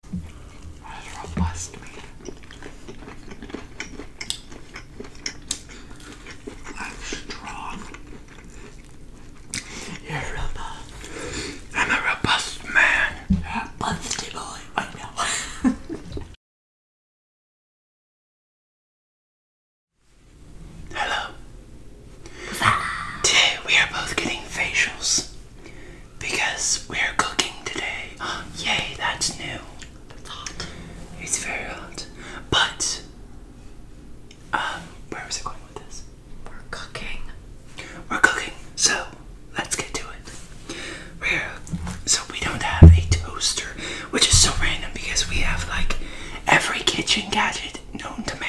What does robust mean? I'm strong. You're robust. I'm a robust man. a busty boy. I know. Hello. We are both getting facials because we're cooking today. Yay, that's new. It's hot. It's very hot. But, um, where was I going with this? We're cooking. We're cooking, so let's get to it. We're, so we don't have a toaster, which is so random because we have like every kitchen gadget known to man.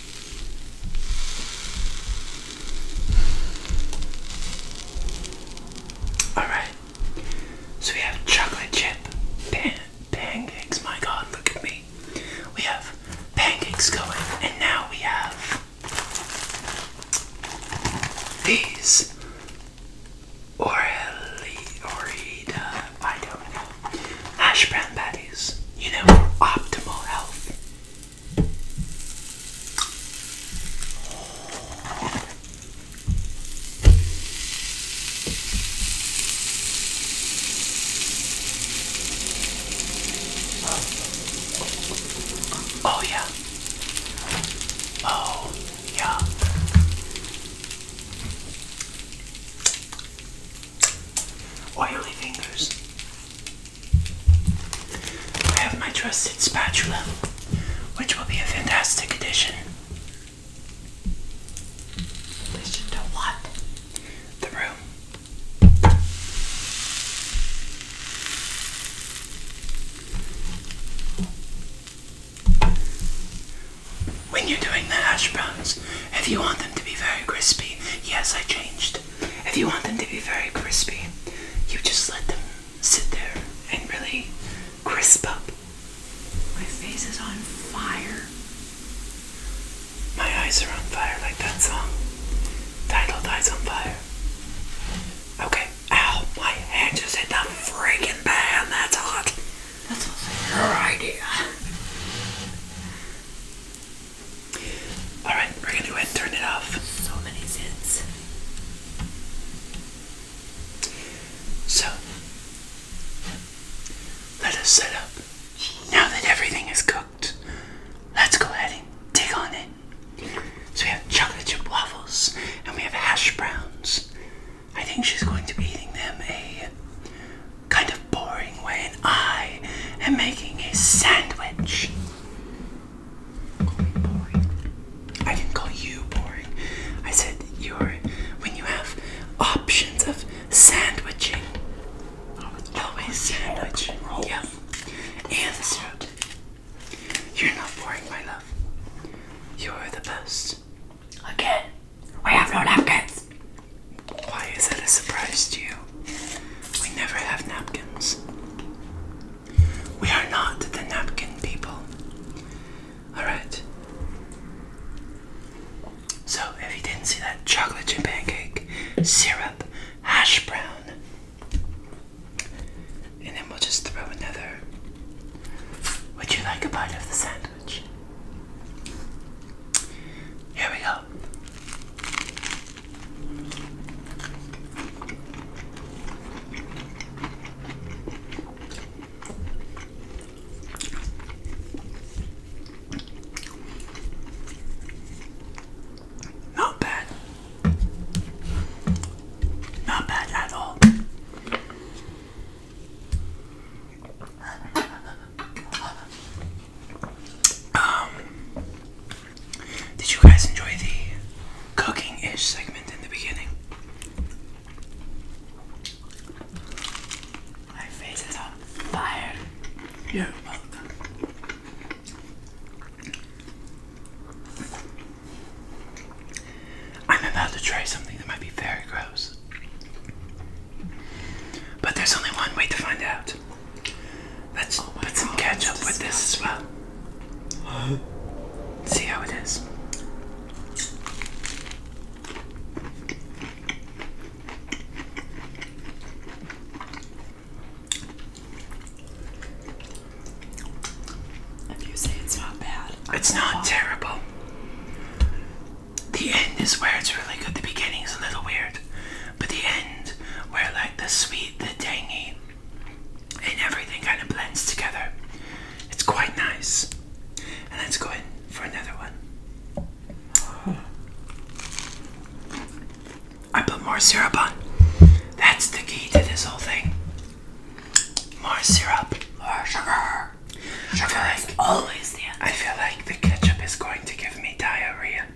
Alright, so we have chocolate chip pan pancakes. My god, look at me. We have pancakes going, and now we have these Orelli Orida, I don't know, hash brown patties, you know, for optimal health. Oh, yeah. Oh, yeah. Oily fingers. I have my trusted spatula, which will be a fantastic addition. Addition to what? The room. When you're doing the hash if you want them to be very crispy, yes, I changed if you want them to be very crispy, you just let them sit there and really crisp up. My face is on fire. My eyes are on fire, like that song. Title dies on Fire. Okay. Ow, my hand just hit the freaking pan. That's hot. That's also your idea. Alright, we're gonna go ahead and turn it off. So many zits. So, let us set up. Now that everything is cooked, let's go ahead and dig on it. So we have chocolate chip waffles and we have hash browns. I think she's going to be eating them a kind of boring way, and I am making a sandwich. I didn't call you boring. I said you're when you have options of sandwiching. Always sandwich. Oh. Yeah. And soup. You're not boring, my love. You're the best. Okay, we have no napkins. Why is that a surprise to you? We never have napkins. We are not the napkin people. Alright. So, if you didn't see that, chocolate chip pancake, syrup, hash brown. And then we'll just throw another. Would you like a bite of the sandwich? Here we go. Not bad. Not bad at all. Um did you guys enjoy the cooking ish segment in the beginning? My face is on fire. You're welcome. I'm about to try something that might be very gross. But there's only one way to find out. Let's oh put some ketchup with this as well. See how it is. If you say it's not bad, it's not terrible. The end is where it's really good. The beginning is a little weird, but the end, where like the sweet, the tangy, and everything kind of blends together. It's quite nice. And let's go in for another one. I put more syrup on. That's the key to this whole thing. More syrup, more sugar. Sugar I feel like, is always the I feel like the ketchup is going to give me diarrhea.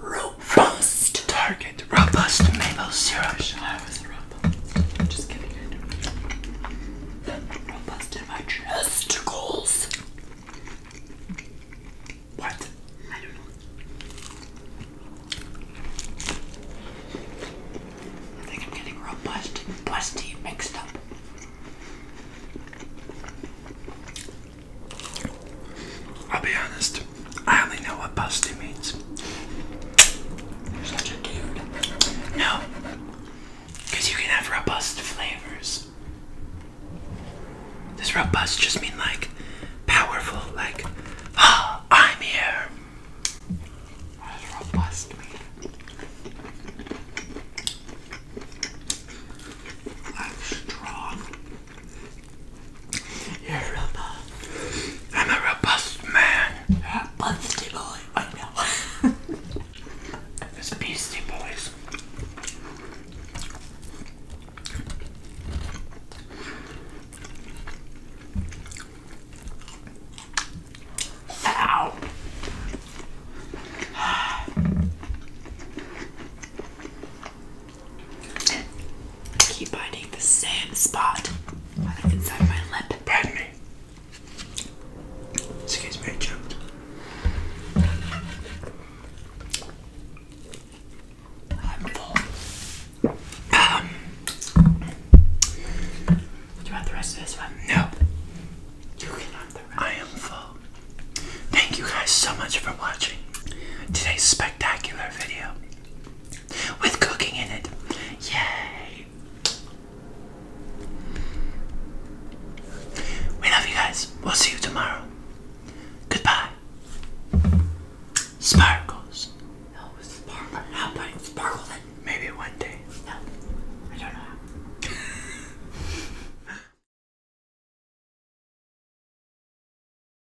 Robust Target Robust Maple Syrup. Robust in my testicles. What? I don't know. I think I'm getting robust and busty mixed up. I'll be honest, I only know what busty means. No, because you can have robust flavors. Does robust just mean like powerful, like, ah, I'm here? What does robust mean? I'm strong. I'm a robust man. you busty boy. I know. this beastie boys. Ow. Keep biting the same spot inside me. Excuse me, I choked. I'm full. Um, do the rest of this one? No. You can I am full. Thank you guys so much for watching today's spectacular video with cooking in it. Yay! We love you guys. We'll see you tomorrow. Goodbye. Sparkles. No, sparkle. Not putting sparkle in. Maybe one day. No, I don't know